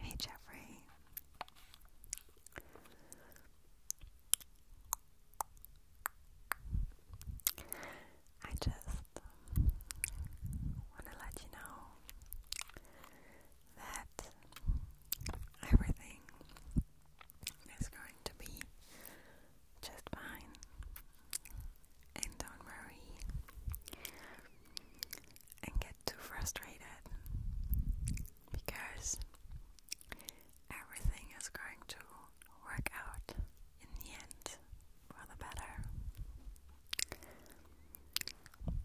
Hey Jeffrey. I just want to let you know that everything is going to be just fine. And don't worry and get too frustrated because everything is going to work out in the end for the better.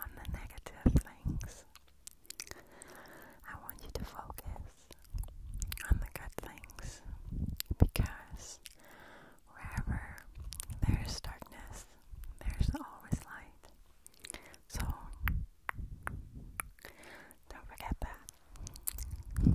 on the negative things. I want you to focus on the good things because wherever there's darkness, there's always light. So don't forget that.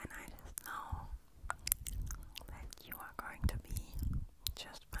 And I just know that you are going to be just fine.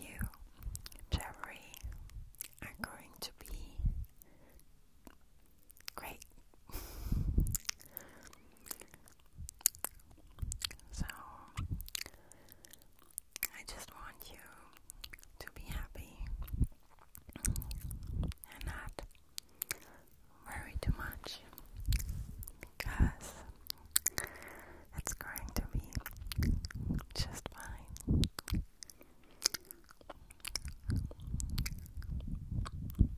You, Jeffrey, are going to be great. So, I just want you to be happy and not worry too much because it's going to be just fine.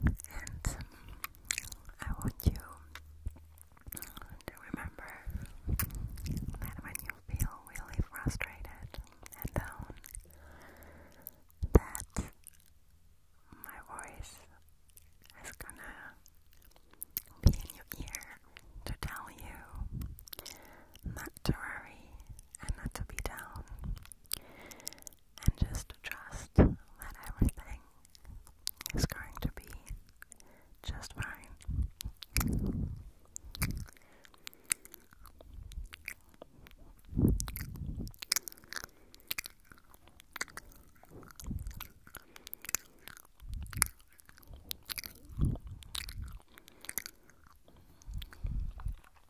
And I want you to remember that when you feel really frustrated and down, that my voice is gonna be in your ear to tell you not to worry and not to be down and just trust that everything is going to be just fine.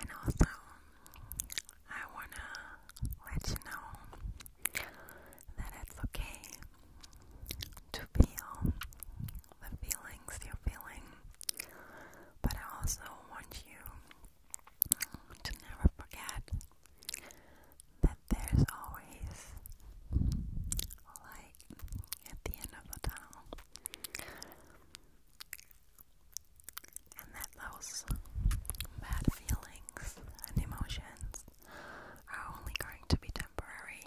And also, I wanna let you know that it's okay to feel the feelings you're feeling, but I also want you to never forget that there's always light at the end of the tunnel. And that those bad feelings and emotions are only going to be temporary.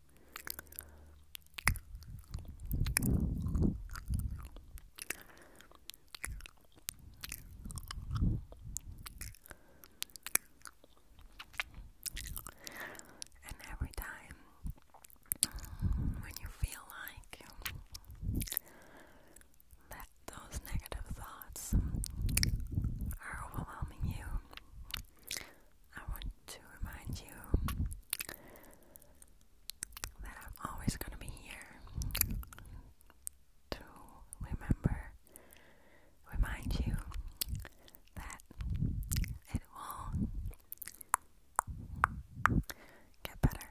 And every time when you feel like that those negative thoughts are overwhelming you, I want to remind you that I'm always going to be here to remember, remind you that it will get better.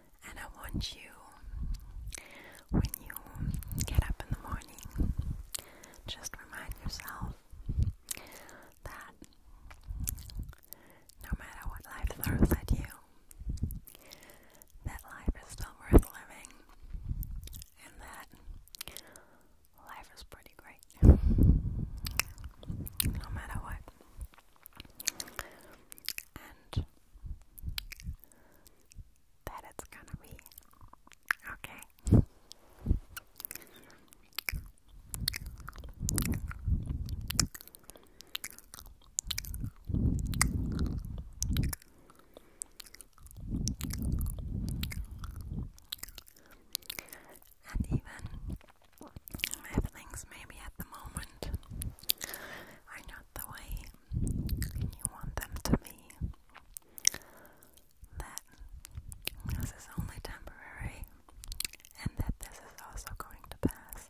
And I want you, when you get up in the morning, just remind yourself that no matter what life throws at you, that life is still worth living, and that life is pretty great. No matter what and that it's gonna be okay. And even if things maybe at the moment are not the way you want them to be, that this is only temporary and that this is also going to pass.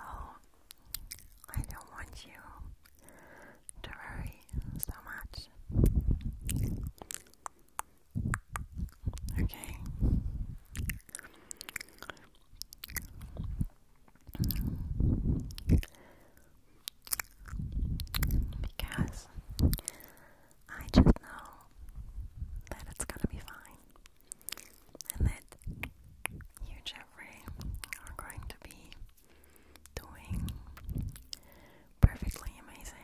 Oh, I don't want you to worry so much. Okay. Because I just know that it's gonna be fine, and that you, Jeffrey, are going to be doing perfectly amazing.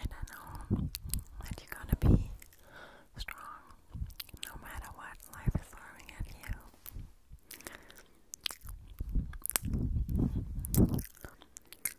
And I know that you're gonna be strong no matter what life is throwing at you.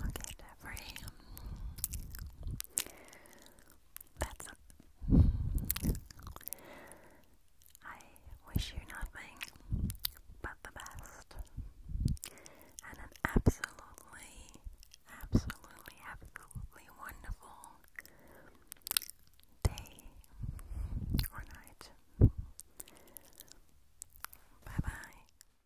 Okay, Jeffrey. That's it. I wish you nothing but the best. And an absolutely, absolutely, absolutely wonderful day or night. Bye bye.